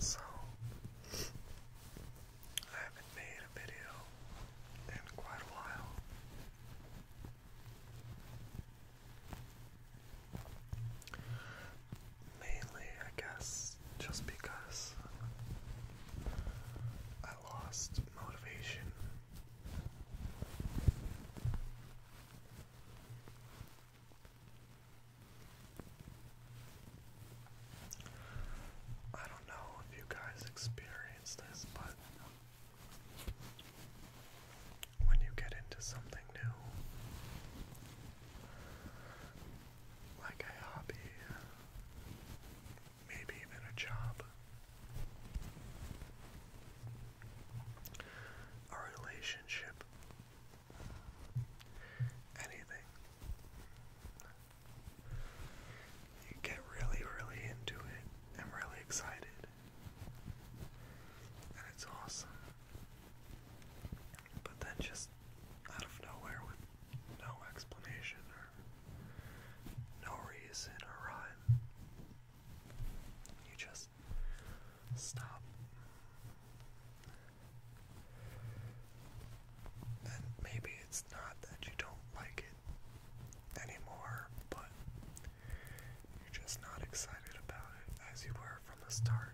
So, I haven't made a video in quite a while. Mainly, I guess, just because I lost motivation. I don't know if you guys experience this, but when you get into something new, like a hobby, maybe even a job. A relationship, anything. You get really, really into it and really excited, and it's awesome. But then just out of nowhere with no explanation or no reason or rhyme, you just stop. And maybe it's not that you don't like it anymore, but you're just not excited about it as you were from the start.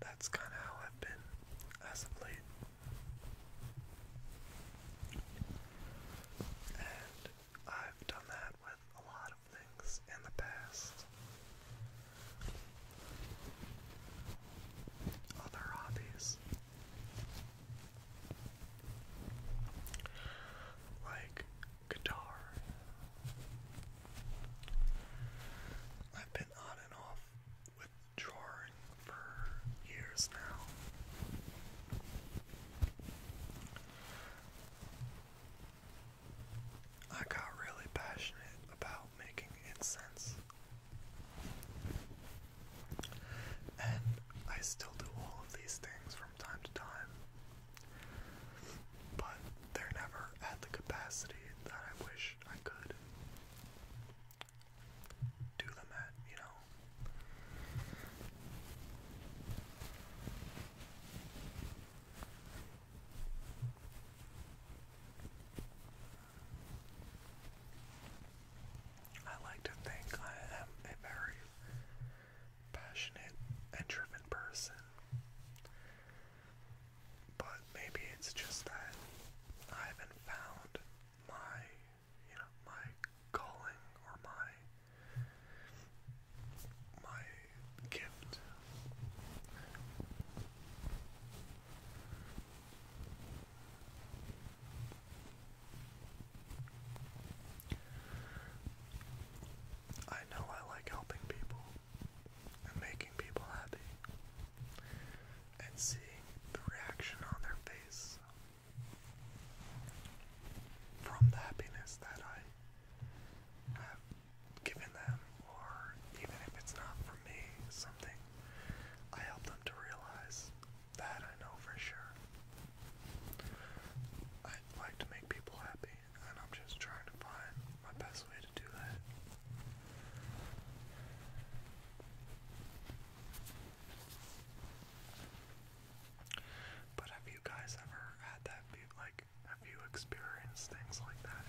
that's kind of how I've been as of late. And I've done that with a lot of things in the past. Other hobbies. Like guitar. I've been on and off with for years now. I got really passionate about making incense. And I still do all of these things from time to time. But they're never at the capacity that I wish I could do them at, you know. I like to think I am a very passionate and driven person. But maybe it's just that I haven't found my, you know, my calling or my my gift. I know I like helping people and making people happy and seeing the reaction on their face from the happiness that I have given them, or even if it's not from me, something I help them to realize that I know for sure. I like to make people happy and I'm just trying to find my best way to do that. But have you guys ever had that like have you experienced things like that?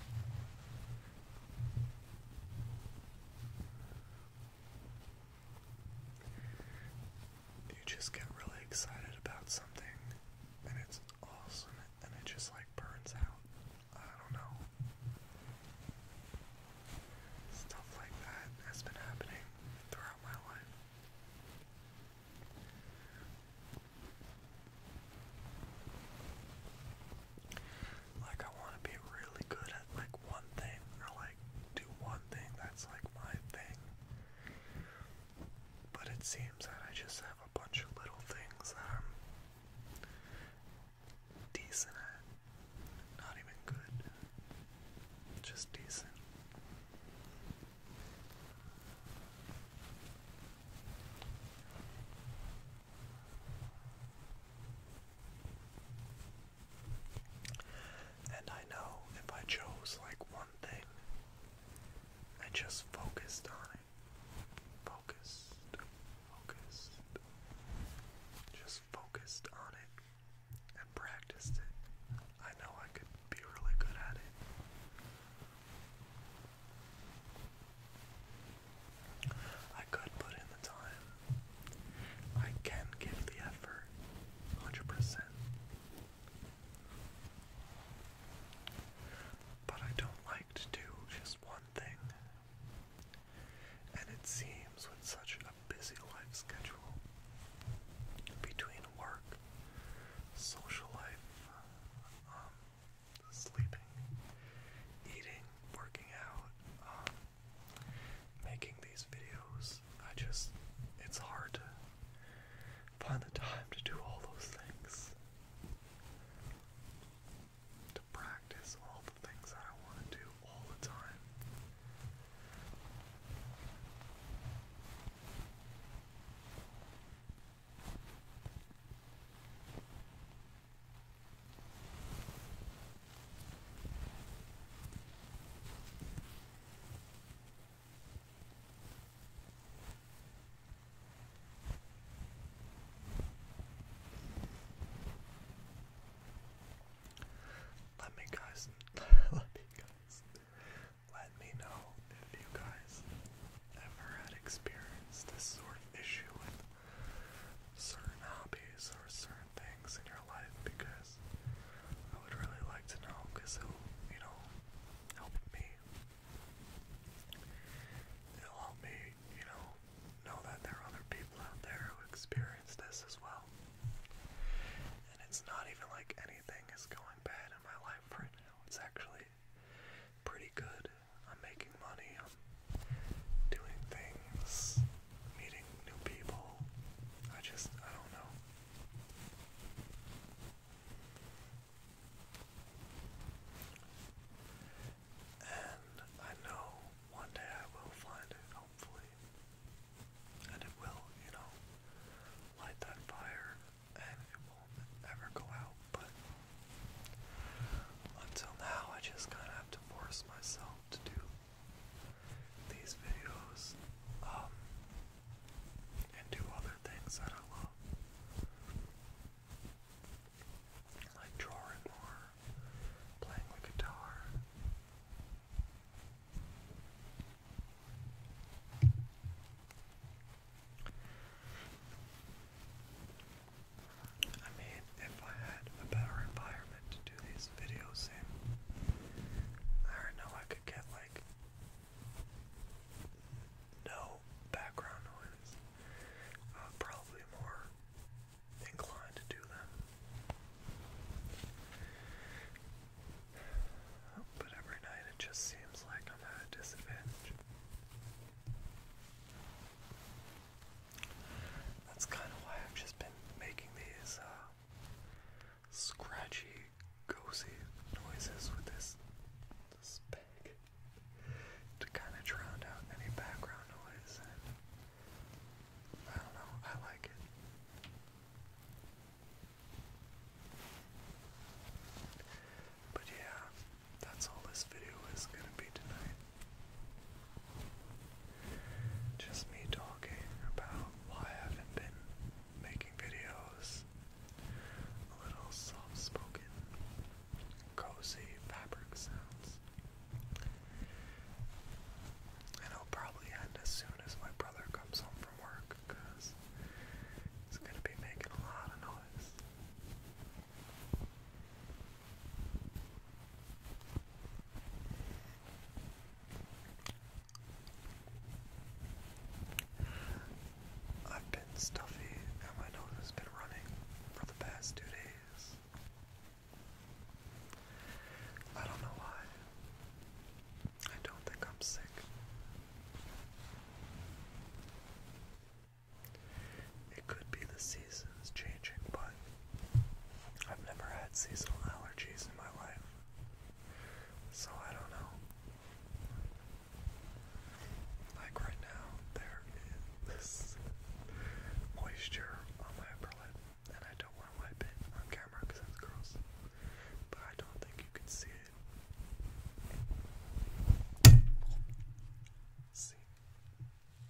You just get really excited about something and it's awesome and it just like burns out. I don't know. Stuff like that has been happening throughout my life. Like, I want to be really good at like one thing, or like do one thing that's like my thing. But it seems that I just have a bunch of little things that I'm decent at. Not even good, just decent. And I know if I chose like one thing I just focused on it. Focused, focused. Just focused on it and practiced it. I know I could be really good at it. I could put in the time. I can give the effort 100%. But I don't like to do just one thing. And it seems with such a busy life schedule between work, social life, uh, um, sleeping, eating, working out, um, making these videos, I just, it's hard to Find the time to do all those things. To practice all the things I want to do all the time. Let me guys let me guys let me know if you guys ever had experienced this sort of issue with certain hobbies or certain things in your life because this. I would really like to know because it'll, you know, help me. It'll help me, you know, know that there are other people out there who experience this as well. And it's not even like anything is going bad in my life right now. It's actually pretty good. I'm making money, I'm doing things, meeting new people. I just, I don't know. And I know one day I will find it, hopefully. And it will, you know, light that fire and it won't ever go out. But until now, I just kind of have to force myself to do these videos um, and do other things that I love. Like drawing more, playing the guitar. I mean, if I had a better environment, to do these videos in. I know, I could get like no background noise. Uh, probably more inclined to do them. But every night it just seems like I'm at a disadvantage. That's kind of why I've just been making these uh, scratchy, cozy noises with this, this peg to kind of drown out any background noise, I don't know, I like it. But yeah, that's all this video is gonna be tonight just me talking about why I haven't been making videos. A little soft spoken, cozy fabric sounds. And I'll probably end as soon as my brother comes home from work because he's going to be making a lot of noise. I've been stuffy and my nose has been running for the past two days. I don't know why. I don't think I'm sick. It could be the season season is changing, but I've never had seasonal allergies in my life. So I don't know. Like right now, there is this moisture on my upper lip, and I don't want to wipe it on camera because that's gross. But I don't think you can see it. See?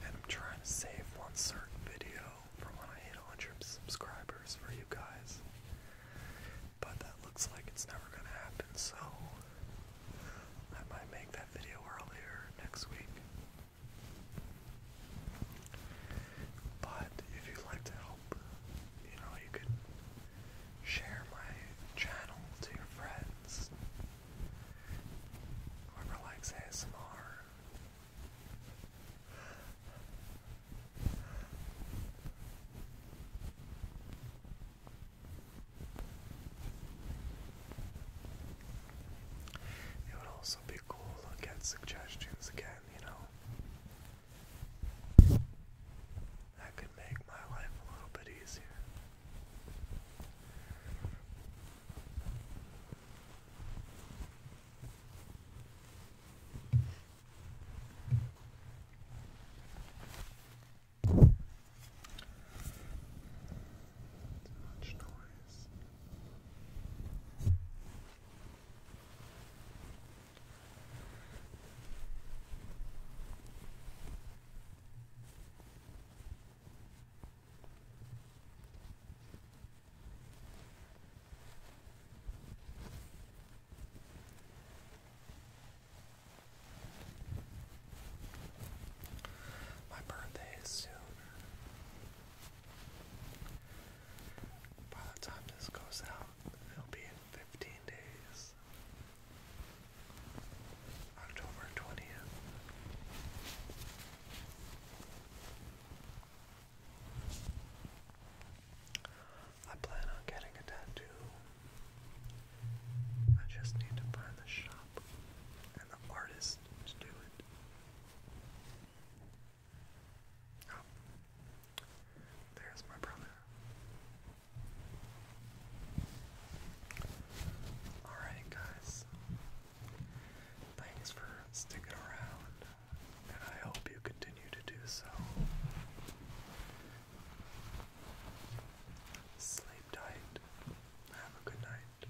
And I'm trying to save one certain video for when I hit 100 subscribers for you guys. But that looks like it's never going to happen, so I might make that video earlier next week. But if you'd like you know, you could share my channel to your friends. Whoever ASMR. It would also be cool to get suggestions again, you know. That could make my life a little bit easier. Too much noise. My birthday is soon. By the time this goes out, it'll be in 15 days. October 20th. I plan on getting a tattoo. I just need to find the shop and the artist to do it. Oh. there's my brother. Alright, guys. Thanks for sticking around, and I hope you continue to do so. Sleep tight. Have a good night.